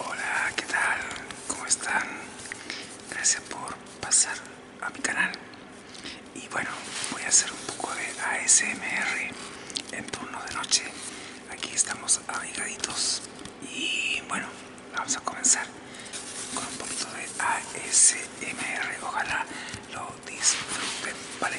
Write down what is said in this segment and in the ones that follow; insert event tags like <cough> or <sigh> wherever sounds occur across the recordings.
Hola, ¿qué tal? ¿Cómo están? Gracias por pasar a mi canal. Y bueno, voy a hacer un poco de ASMR en turno de noche. Aquí estamos abrigaditos y bueno, vamos a comenzar con un poquito de ASMR. Ojalá lo disfruten, ¿vale?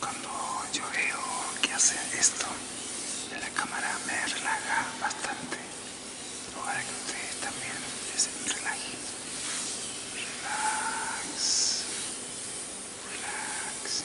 Cuando yo veo que hace esto la cámara me relaja bastante. Ahora que ustedes también se relajen. Relax. Relax.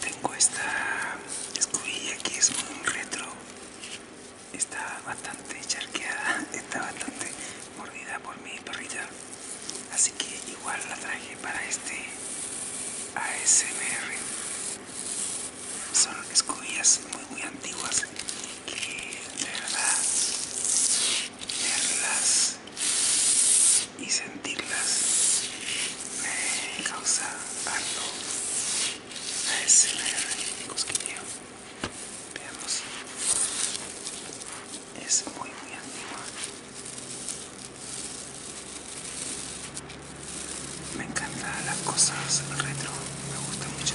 Tengo esta escobilla que es muy retro, está bastante charqueada, <laughs> está bastante mordida por mi perrita, así que igual la traje para este ASMR. Son escobillas muy muy antiguas que de verdad verlas y sentirlas me causa algo es que cosquilleo veamos es muy muy antigua me encantan las cosas retro me gusta mucho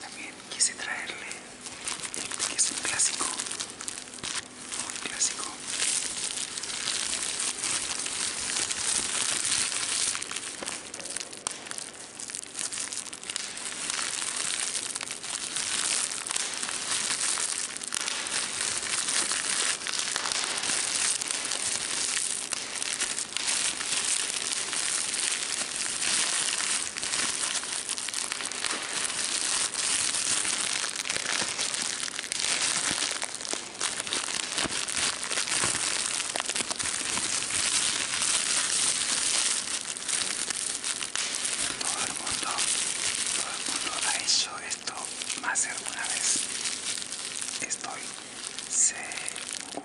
También quise traerle el que es un clásico, un clásico. Todo el mundo, todo el mundo ha hecho esto más de alguna vez. Estoy seguro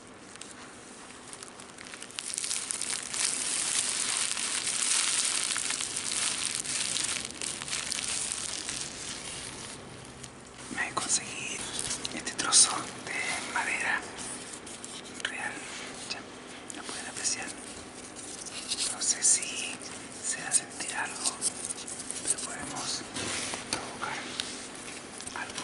Me conseguí este trozo de madera real, ya lo pueden apreciar. No sé si se va a sentir algo, pero podemos provocar algo.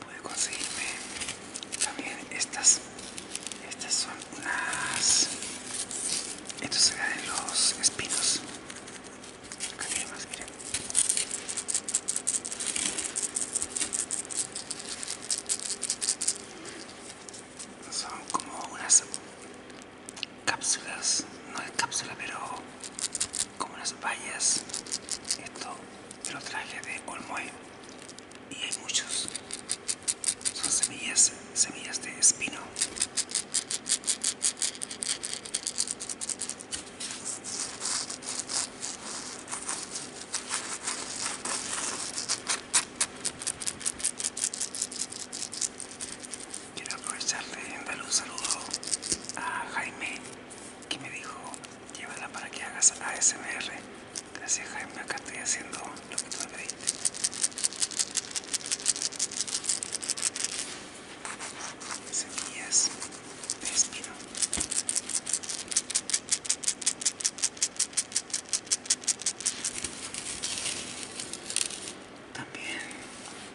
Pude conseguirme también estas. Estas son unas. Estos se dan los espinos. Acá tiene son como unas cápsulas, no es cápsula, pero como unas vallas. Esto lo traje de Olmoy y hay muchos. Son semillas, semillas de espino. Quiero aprovecharte y darle un saludo a Jaime que me dijo llévala para que hagas ASMR. Gracias Jaime, acá estoy haciendo lo que tú me pediste. Semillas de también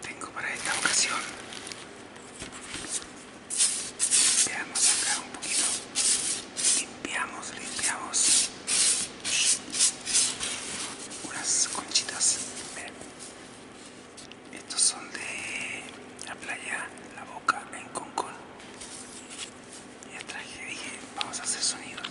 tengo para esta ocasión. limpiamos acá un poquito. Limpiamos, limpiamos. Unas conchitas. Estos son de la playa La Boca en concord y traje, dije, vamos a hacer sonidos.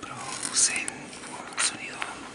Producen un sonido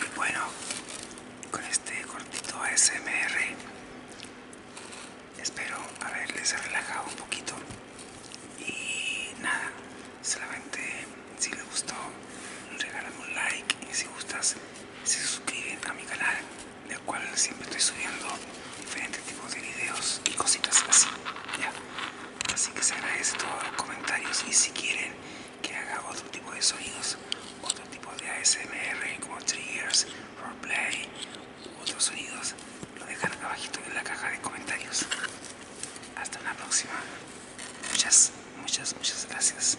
Y Bueno, con este cortito ASMR espero haberles relajado un poquito y nada, solamente si les gustó regálame un like y si gustas se suscriben a mi canal del cual siempre estoy subiendo diferentes tipos de videos y cositas así así que será esto comentarios y si quieren que haga otro tipo de sonidos, otro tipo de ASMR como triggers, roleplay otros sonidos, lo dejan abajito en la caja de comentarios. Hasta una próxima. Muchas, muchas, muchas gracias.